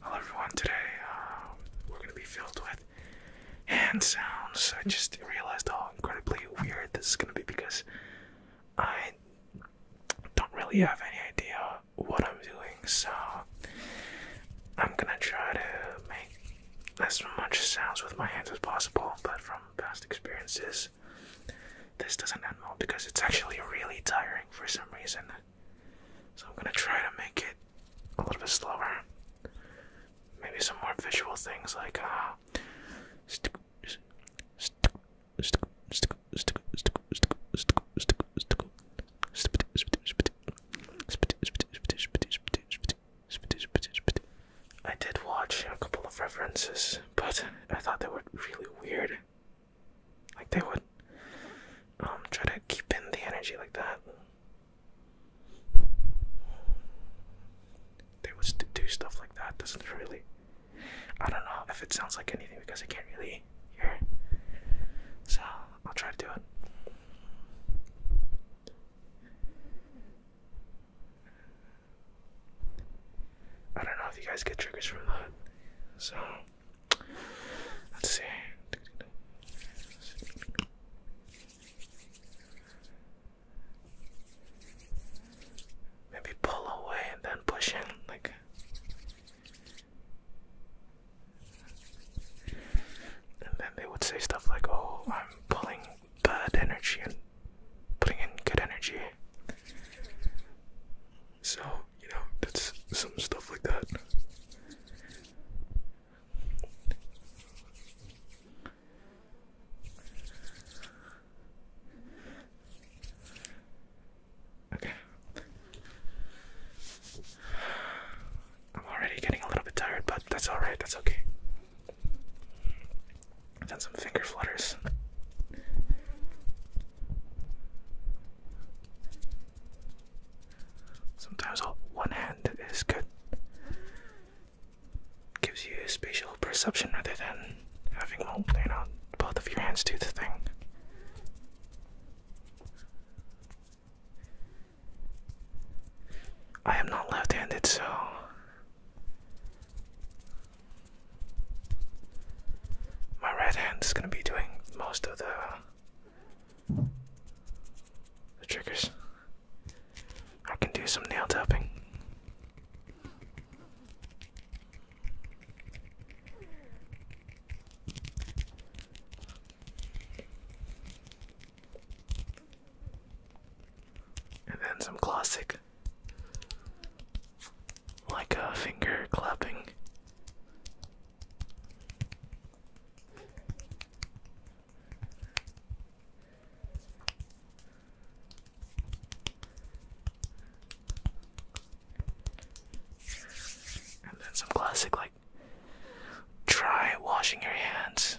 Hello everyone, today um, we're going to be filled with hand sounds. I just realized how incredibly weird this is going to be because I don't really have any idea what I'm doing, so I'm going to try to make as much sounds with my hands as possible, but from past experiences, this doesn't end well because it's actually really tiring for some reason. So I'm gonna try to make it a little bit slower. Maybe some more visual things like uh I did watch a couple of references, but I thought they were really weird. Like they would um try to keep in the energy like that. They would do stuff like that. Doesn't really. I don't know if it sounds like anything because I can't really hear. So I'll try to do it. I don't know if you guys get triggers from that. So Let's see. Maybe pull away and then push in, like. And then they would say stuff like, "Oh, I'm pulling bad energy and putting in good energy." So you know, that's some stuff like that. Okay. I'm already getting a little bit tired, but that's alright, that's okay. And some finger flutters. Sometimes all one hand is good. Gives you spatial perception rather than having well, you know both of your hands do the thing. I am not left-handed, so my right hand is going to be doing most of the, the triggers. I can do some nail tapping. And then some classic, like a finger clapping. And then some classic, like, try washing your hands.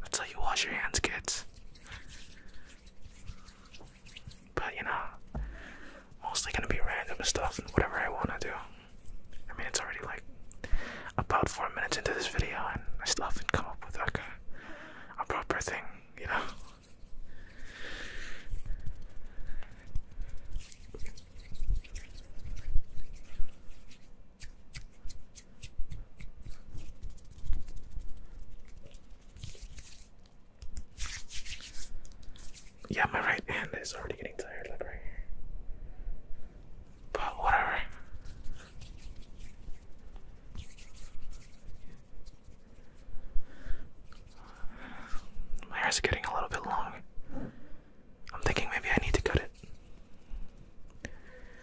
That's how you wash your hands, kids. But you know, mostly gonna be random stuff and whatever I wanna do. I mean, it's already like about four minutes into this video, and I still haven't come up with a proper thing, you know. Yeah, my right hand is already getting tired, like right here. But whatever. My hair's getting a little bit long. I'm thinking maybe I need to cut it.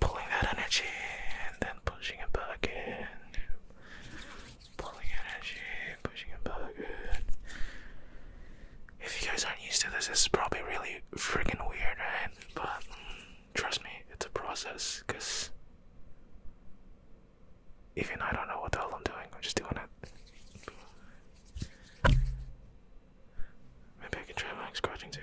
pulling that energy then pushing it back in. Pulling energy, pushing it back in. If you guys aren't used to this, it's probably really freaking weird, right? But mm, trust me, it's a process because even I don't know what the hell I'm doing, I'm just doing it. Maybe I can try my scratching too.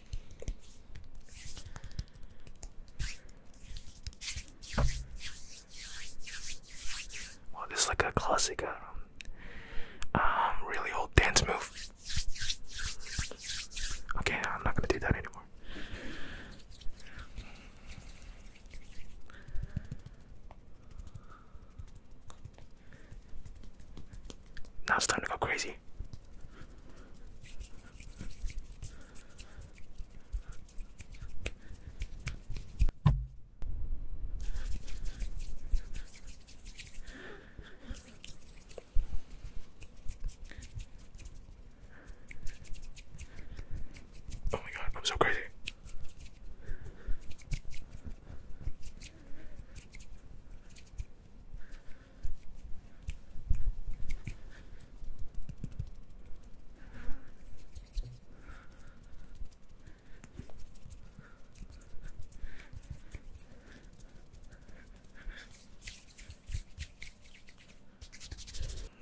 Well, this like a classic, um, um, really old dance move. Okay, I'm not gonna do that anymore. Now it's time to go crazy. Oh my god, I'm so crazy.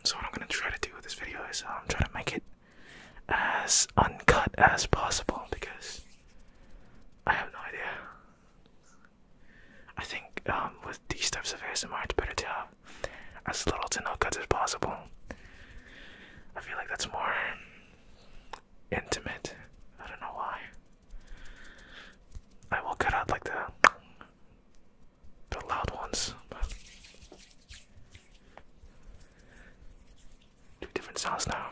So what I'm gonna try to do with this video is I'm um, trying to make it as uncut as possible because I have no idea. I think um, with these types of ASMR, it's better to have as little to no cuts as possible. I feel like that's more intimate. I don't know why. I will cut out like the the loud ones. Two different sounds now.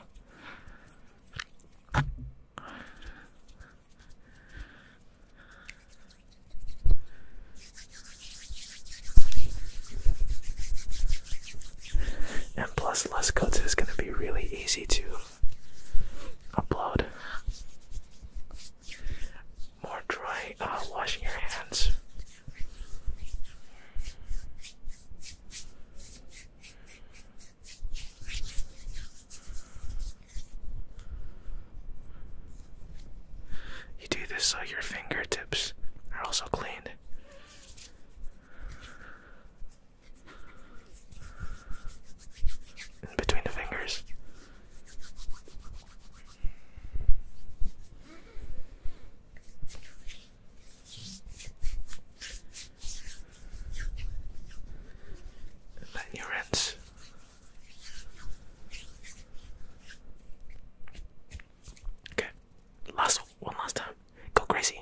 And plus, less cuts is going to be really easy to upload. More dry uh, washing your hands. You do this so your fingertips are also clean. between the fingers. And your rinse. Okay, last one last time. Go crazy.